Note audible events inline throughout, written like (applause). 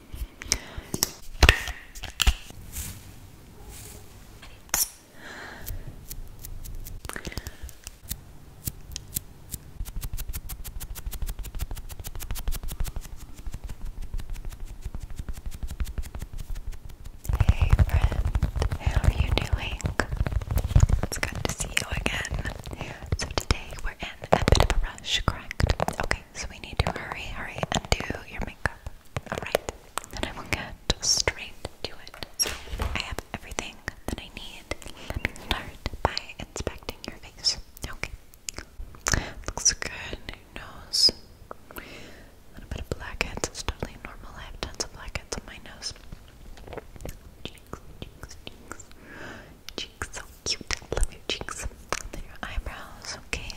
Hey friend, how are you doing? It's good to see you again. So today we're in a bit of a rush, correct? Okay, so we need to hurry, hurry, and do your makeup. Alright, then I will get straight to it. So I have everything that I need. Let me start by inspecting your face. Okay. Looks good. nose. A bit of blackheads. It's totally normal. I have tons of blackheads on my nose. cheeks, cheeks. Cheeks, cheeks, so cute. Love your cheeks. And then your eyebrows, okay?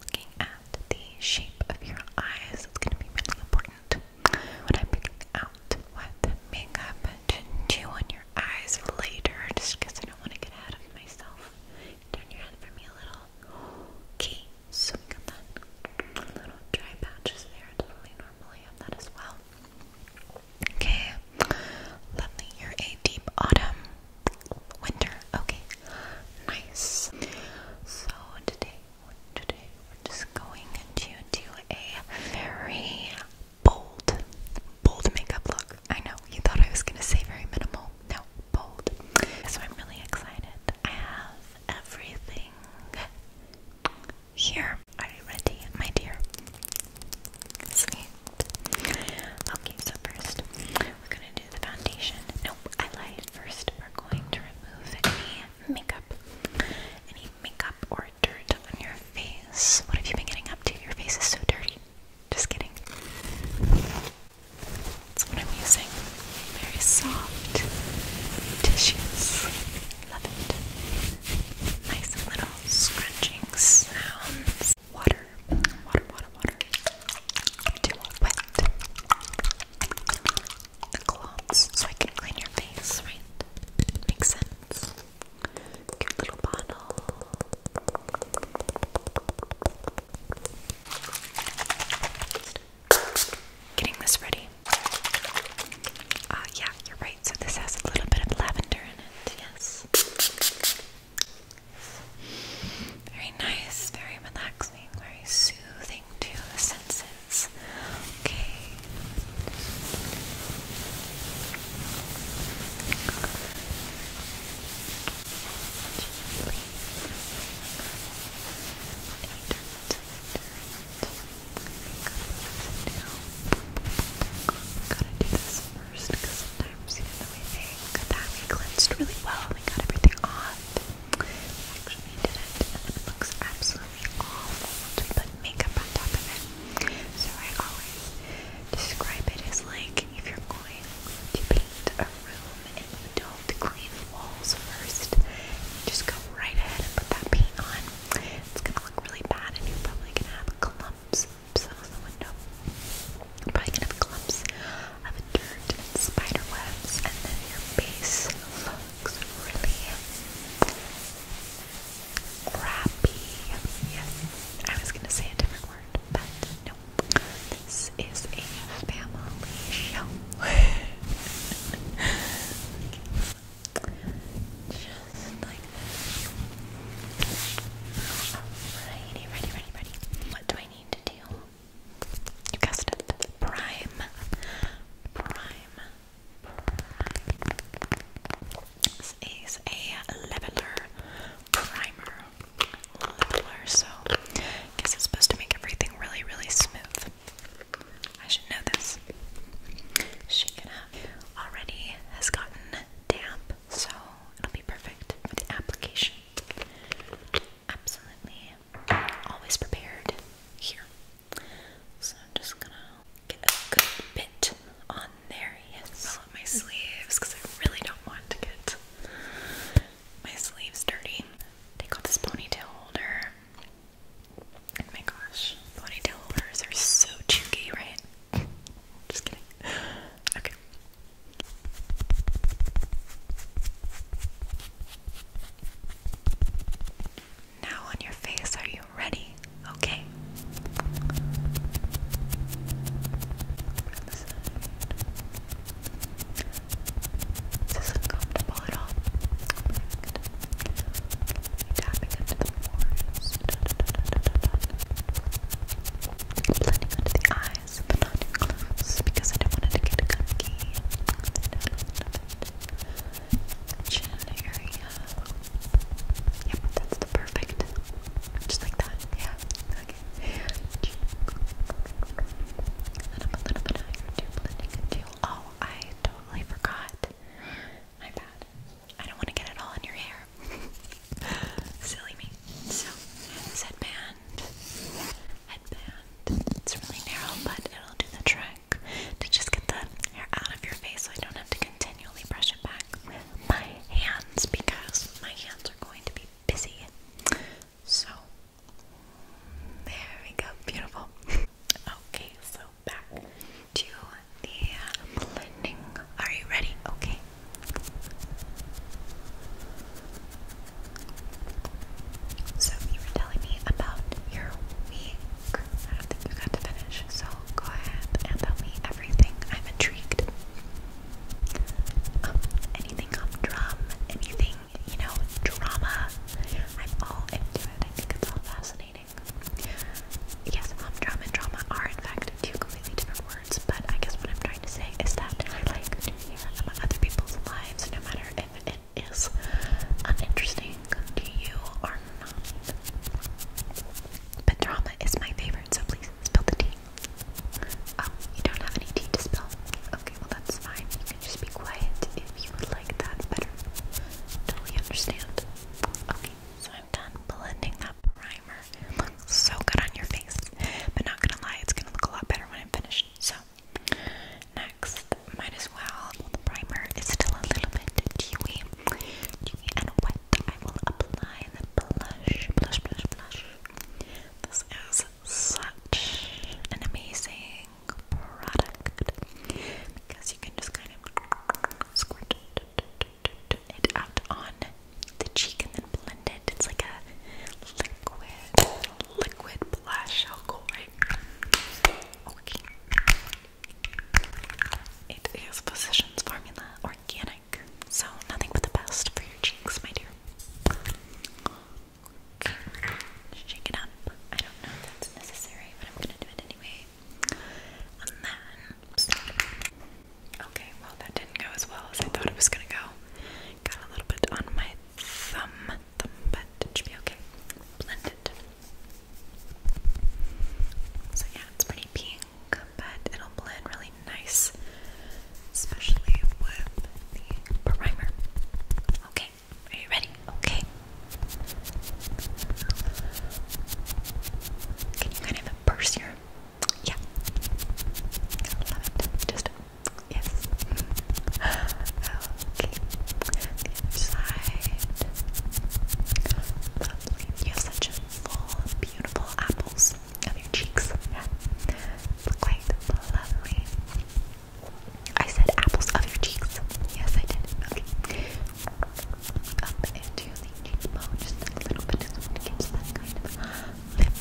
Looking at the shape of your eyes, it's gonna be really important when I'm picking out what makeup to do on your eyes later, just because I don't want to get ahead of myself. Turn your head for me a little. Okay, so we got that little dry patches there, totally normal. have that as well. Okay, Lovely. You're a deep autumn. Winter. Okay. Nice. So today, today we're just going to do a very bold, bold makeup look. I know you thought I was gonna say very minimal. No, bold. So I'm really excited. I have everything here. Are you ready, my dear? Sweet. Okay, so first we're gonna do the foundation. Nope, I lied. First, we're going to remove any makeup, any makeup or dirt on your face. What have you been getting up to? Your face is so dirty. Just kidding. That's what I'm using. Very soft tissues. Love it. Nice little scrunching sounds water, water, water, water. Do wet the cloths so I can clean your face, Makes sense. Cute little bottle. Getting this ready. Uh, yeah, you're right. So this has a little bit of lavender in it. Yes. Very nice, very relaxing, very soothing to the senses. Okay. I'm seeing we think that we cleansed really well we got everything off, we didn't, it looks absolutely awful we put makeup on top of it. So I always describe it as like if you're going to paint a room and you don't clean the walls first, just go right ahead and put that paint on. It's gonna look really bad, and you're probably gonna have clumps clumps the window. probably gonna have clumps of dirt and spider webs, and then your base looks really crappy. Yes, I was gonna say a different word, but no. This is a family show. (laughs) Just like this. Alrighty, ready, ready, ready. What do I need to do? You guessed it. Prime. Prime. This is a leveler primer. Leveler, so guess it's supposed to make everything really, really smooth. I should know this. Shake Already has gotten damp, so It'll be perfect the application. Absolutely. Always prepared here. So I'm just gonna get a good bit on there. Yes. Roll up my sleeves because I really don't want to get my sleeves dirty. They got this ponytail holder. Oh my gosh, ponytail holders are so cheeky, right? Just kidding. Okay. Now on your face, are you ready? Okay. Is this uncomfortable at all? Perfect. into the pores. Blending under the eye but not too close because I don't want to get gunky. Chin area. Yep, that's the perfect. Just like that. Yeah. Okay. And I'm a little bit higher too, blending it too. Oh, I totally forgot. My bad. I don't want to get it all in your hair. (laughs) Silly me. So, headband, headband, it's really narrow, but it'll do the trick to just get the hair out of your face so I don't have to continually brush it back my hands because my hands are going to be busy. So, there we go. Beautiful. Okay, so back to the blending. Are you ready? Okay, so you were telling me about your week. I do got to finish, so go ahead and tell me everything. I'm intrigued. Um, anything on drum, anything, you know, drama. I'm all into it. I think it's all fascinating. Yes, um, and drama are in fact said two completely different words, but I guess what I'm trying to say is that I like to hear about other people's lives, no matter if it is uninteresting to you or not. But drama is my favorite, so please spill the tea. Oh, you don't have any tea to spill? Okay, well that's fine. You can just be quiet if you would like that better. Totally understand. Okay, so I'm done blending that primer so good on your face. But not gonna lie, it's gonna look a lot better when I'm finished. So, next, might as well. The primer is still a little bit dewy, dewy and wet. I will apply the blush, blush, blush, blush. This is such an amazing product because you can just kind of squirt it out on the cheek and then blend it. It's like a liquid, liquid blush. How cool, right? Okay. It is Physicians Formula Organic, so nothing but the best for your cheeks, my dear. Shake it up. I don't know if that's necessary, but I'm gonna do it anyway. And then, Okay, well, that didn't go as well as I thought it was gonna go. Got a little bit on my thumb, but should be okay. Blend So, yeah, it's pretty pink, but it'll blend really nice, especially with the primer. Okay, are you ready? Okay. Can you kind of immerse your. Yeah. love it. Just Yes. Okay. Inside. Lovely. You have such full, beautiful apples on your cheeks. Yeah. It's quite lovely. I said apples of your cheeks. Yes, I did. Okay. Up into the cheekbone, just a little bit. Just to get that lift.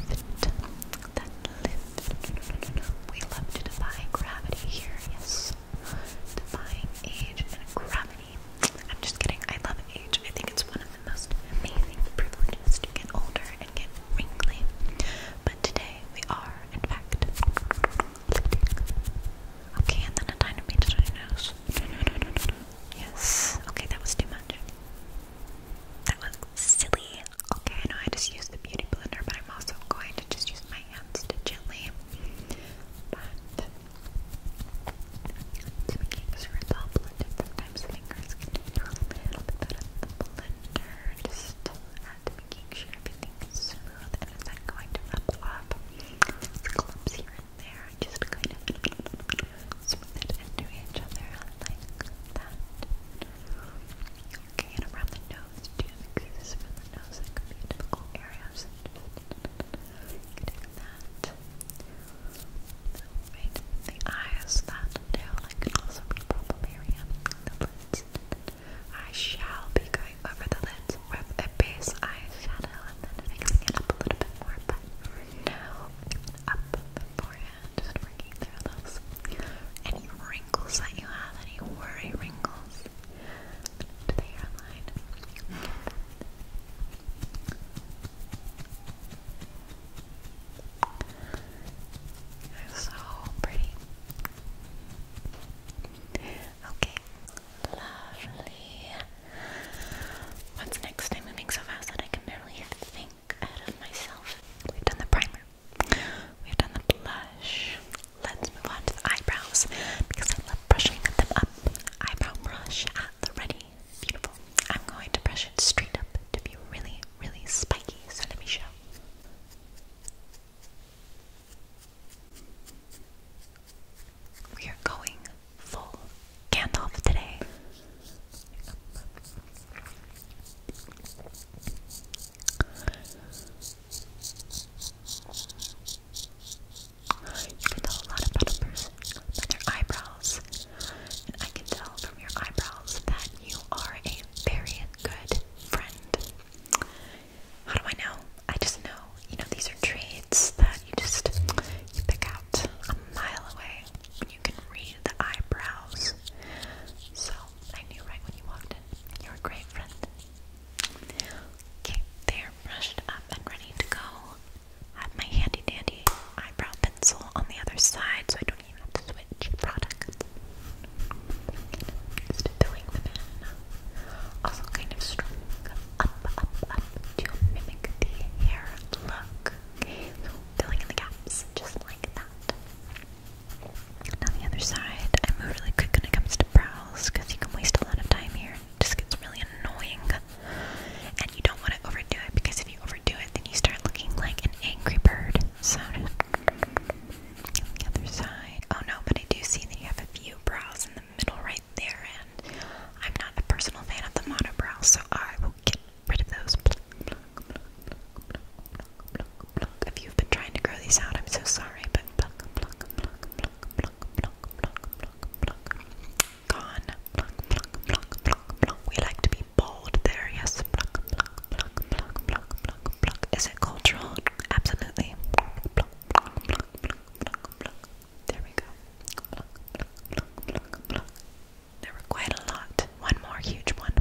We love to defy gravity here, yes. Defying age and gravity. I'm just kidding, I love age. I think it's one of the most amazing privileges to get older and get wrinkly. But today we are, in fact, Okay, and then a tiny bit of nose. Yes. Okay, that was too much. That was silly. Okay, I know I just used the beauty blender, but I'm also going to just use my hands to gently. But sure it's all blended, sometimes the fingers can do a little bit better blender. Just at making sure everything smooth and it's going to flip flop. Clumps here and there. Just kind of Smooth it into each other like that. Okay, and around the nose, do the the nose that could be in areas. Getting that. the eyes, that too, like also a problem area. The lids. I shall be going over the lids with a base eyeshadow and then mixing it up a little bit more, but now up the forehead, working through those. Any wrinkles that you have, any worry wrinkles to the hairline. so pretty. Okay, lovely. What's next? I'm moving so fast that I can barely hear out of myself. We've done the primer. We've done the blush. Let's move on to the eyebrows because I love brushing them up. Eyebrow brush at the ready. Beautiful. I'm going to brush it straight up to be really, really spiky. So let me show. We are going full Gandalf today. You can tell a lot about a person by their eyebrows. And I can tell from your eyebrows that you are a very good friend. How do I know? I just know. You know, these are traits that you just you pick out a mile away you can read the eyebrows. So I knew right when you walked in. You're a great friend. Okay, they're brushed up and ready to go. have my handy dandy eyebrow pencil on the other side so I don't even have to switch products. Just filling them in. Also kind of strung up, up, up to mimic the hair look. filling in the gaps just like that. And on the other side, I move really quick when it comes to brows because you can waste a lot of time here. It just gets really annoying. And you don't want to overdo it because if you overdo it, then you start looking like an angry bird. So, on the other side. Oh no, but I do see that you have a few brows in the middle right there, and I'm not a personal fan of the monobrow, so I will get rid of those. If you've been trying to grow these out, I'm so sorry, but gone. We like to be bold there, yes. Is it cultural? Absolutely. There we go. There were quite a lot. One more huge one.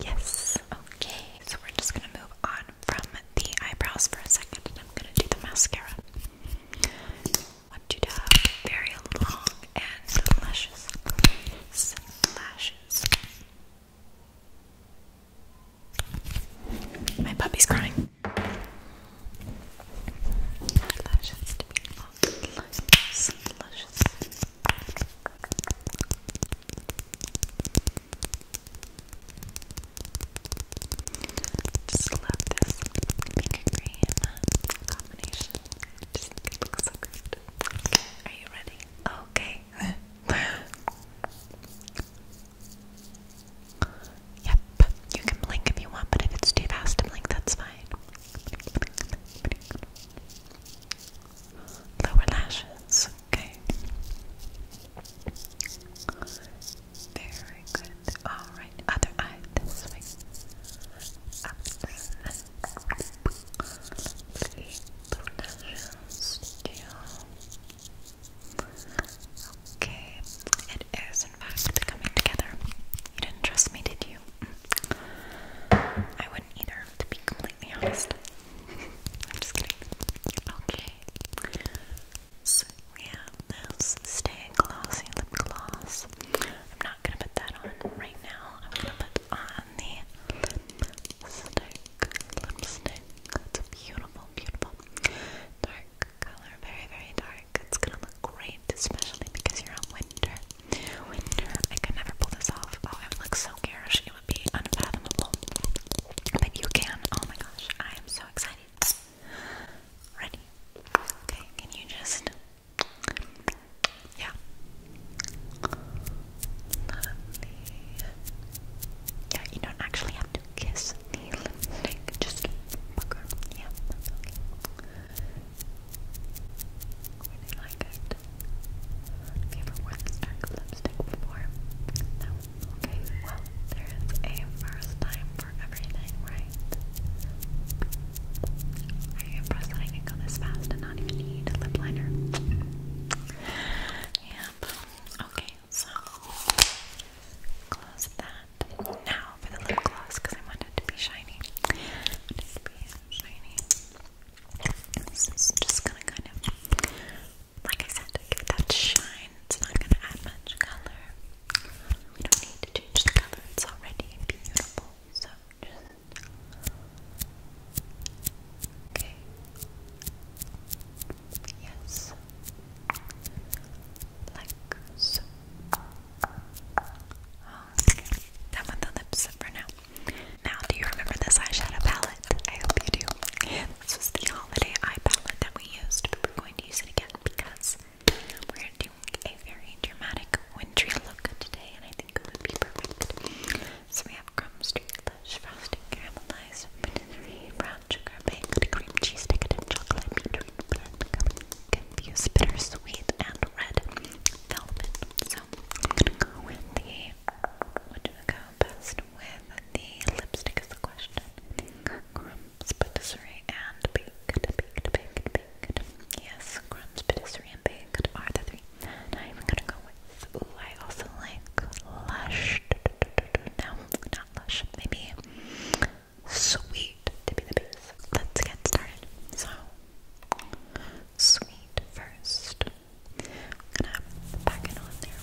Yes. Okay. So we're just gonna move on from the eyebrows for a second and I'm gonna do the mascara. I want you very long and luscious lashes. My puppy's crying. Lashes to be long, luscious, just love this pink and green uh, combination. just think it looks so good. Are you ready? Okay. (laughs) yep. You can blink if you want, but if it's too fast to blink, that's fine lower lashes. Okay. Very good. All right. Other eye Okay. It is in fact coming together. You didn't trust me, did you? Mm. I wouldn't either, to be completely honest. (laughs) I'm just kidding. Okay. So yeah, have this Stay Glossy Lip Gloss. I'm not gonna put that on right now. I'm gonna put on the lipstick. Lipstick. It's beautiful, beautiful dark color. Very, very dark. It's gonna look great, especially because you're on winter. I could never pull this off. Oh, I would so garish. It would be unfathomable. But you can. Oh my gosh. I am so excited. Ready? Okay, can you just. Yeah. Yeah, you don't actually have to kiss Just Yeah, Really like it. Have you ever worn this dark lipstick before? Okay, well, there is a first time for everything, right? Are you impressed that I can go this fast and not even need a lip liner? Yep. Okay, so close that now for the lip gloss because I want it to be shiny. I be shiny. This is just gonna kind of, like I said, give it that shine. It's not gonna add much color. We don't need to change the color, it's already beautiful. So just. Okay. Yes. Like so. Oh, Done with the lips for now. Now, do you remember this eyeshadow palette? I hope you do. This was the holiday eye palette that we used, we're going to use it again because we're going a very dramatic wintry look today, and I think it would be perfect. So we have crumb streak lush frosting caramelized brown sugar baked cream cheese decadent chocolate beetroot confused bittersweet and red velvet. So I'm gonna go with the what do you go best with the lipstick is the question. Crumbs, patisserie, and baked, baked, baked, baked. Yes, crumbs, patisserie, and baked are the three. And I'm gonna go with. Ooh, I also like lush. No, not lush. Maybe sweet to be the base. Let's get started. So, sweet first. I'm gonna pack it on there.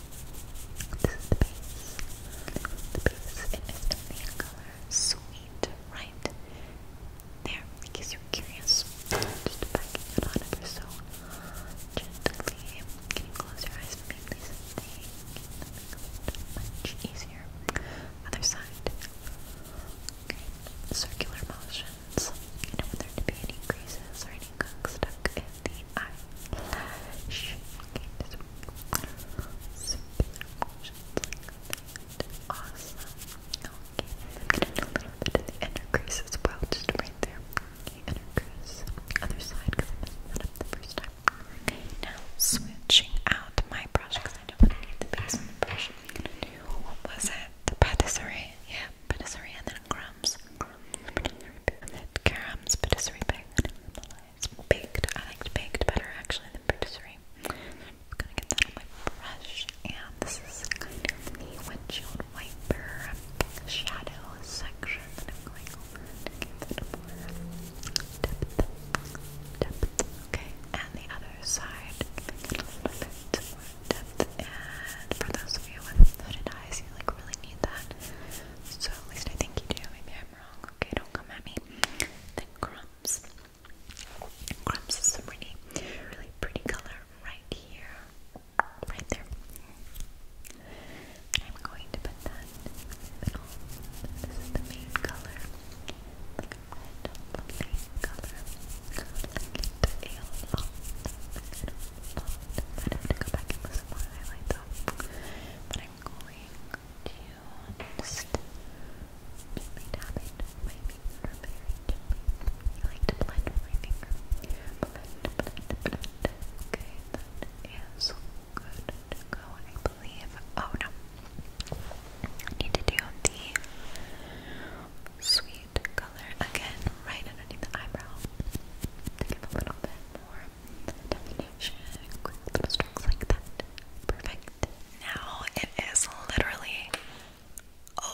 This is the base. The base and it's in color sweet, right? There, in case you're curious. Just packing it on ever so gently. Can you eyes please? Thank you. Much easier. Other side. Okay. Circular motion lines. You do any creases or any gunk stuck in the eyelash. Okay, just circular motions like that. Awesome. Okay, I'm gonna do a little bit of the inner crease as well, just right there. Okay, inner crease. Other side, because I messed that up the first time. Okay, now switching out my brush, because I don't need the base brush. what was it? The patisserie. Yeah, patisserie and and crumbs. And Karam's patisserie bag baked. I liked baked better actually than patisserie. I'm gonna get that on my brush. And this is kind of the windshield wiper shadow section And I'm going over to give it more depth. depth. Okay, and the other side, depth and for those of you with hooded eyes, you like really need that. So at least I think you do. Maybe I'm wrong. Okay, don't come at me. Then crumbs. Crumbs is a really, really pretty color right here. Right there. And I'm going to put that in the middle. This is the main color. Like a red, lovely color. Like the ale. Oh, I'd have to go back and listen to my highlight though. But I'm going to just gently tap my finger very I like to blend my finger. Blend, blend, blend. Okay, that is good go, I believe. Oh no. need to do the sweep shade color again right underneath the eyebrow to give a little bit more definition, quick little strokes like that. Perfect. Now it is literally,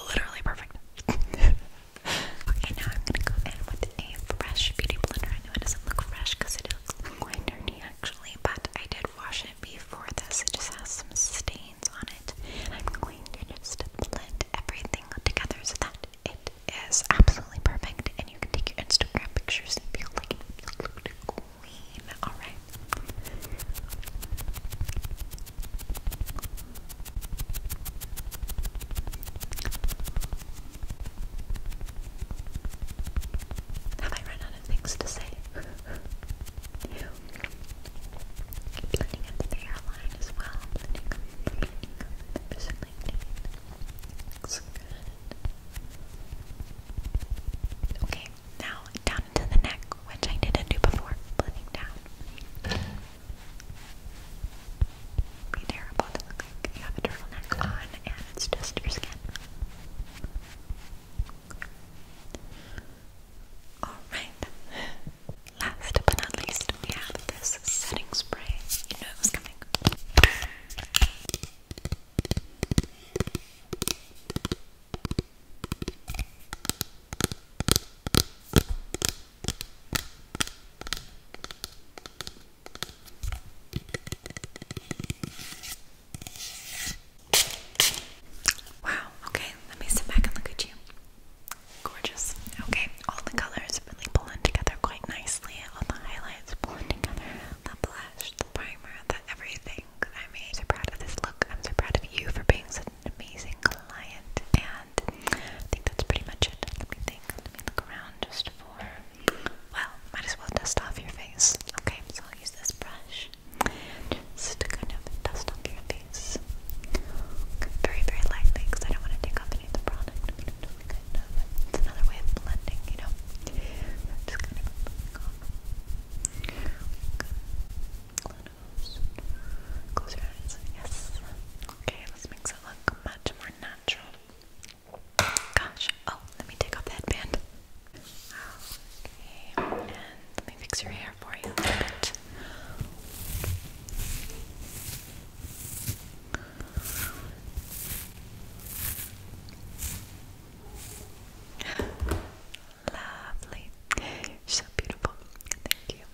literally perfect. (laughs) okay, now I'm gonna go in with a fresh beauty blender. I know it doesn't look fresh because it looks quite dirty actually, but I did wash it before this. It just has some stains on it. I'm going to just blend everything together so that it is absolutely perfect, and you can take your Instagram pictures and feel like a queen. Alright. Have I run out of things to say? (laughs) Keep looking at the hairline green as well. The new Looks good. Okay, now down into the neck, which I didn't do before. Splitting down. Be terrible to look like you on and it's just your skin. Alright. Last but not least, we have this setting spray. You know it coming. Wow, okay, let me sit back and look at you. Gorgeous. Okay, all the colors really pulling together quite nicely. All the highlights pulling together. The blush, the primer, the everything. I I'm so proud of this look. I'm so proud of you for being such an amazing client. And I think that's pretty much it. Let me think. Let me look around just for. Well, might as well dust off your face. Okay, so I'll use this brush. Just to kind of dust off your face this very, very lightly because I don't want to take off any of the product. Uh, it's another way of blending, you know? just kind of going on. Close. your eyes. Yes. Okay, let's make it look much more natural. Gosh. Oh, let me take off the headband. Okay, and let me fix your hair for you a little bit. Lovely. so beautiful. Thank you.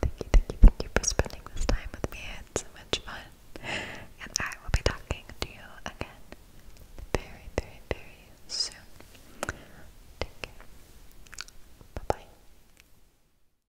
Thank you, thank you, thank you for spending this time with me. It's so much fun. And I will be talking to you again very, very, very soon. Take care. Bye bye.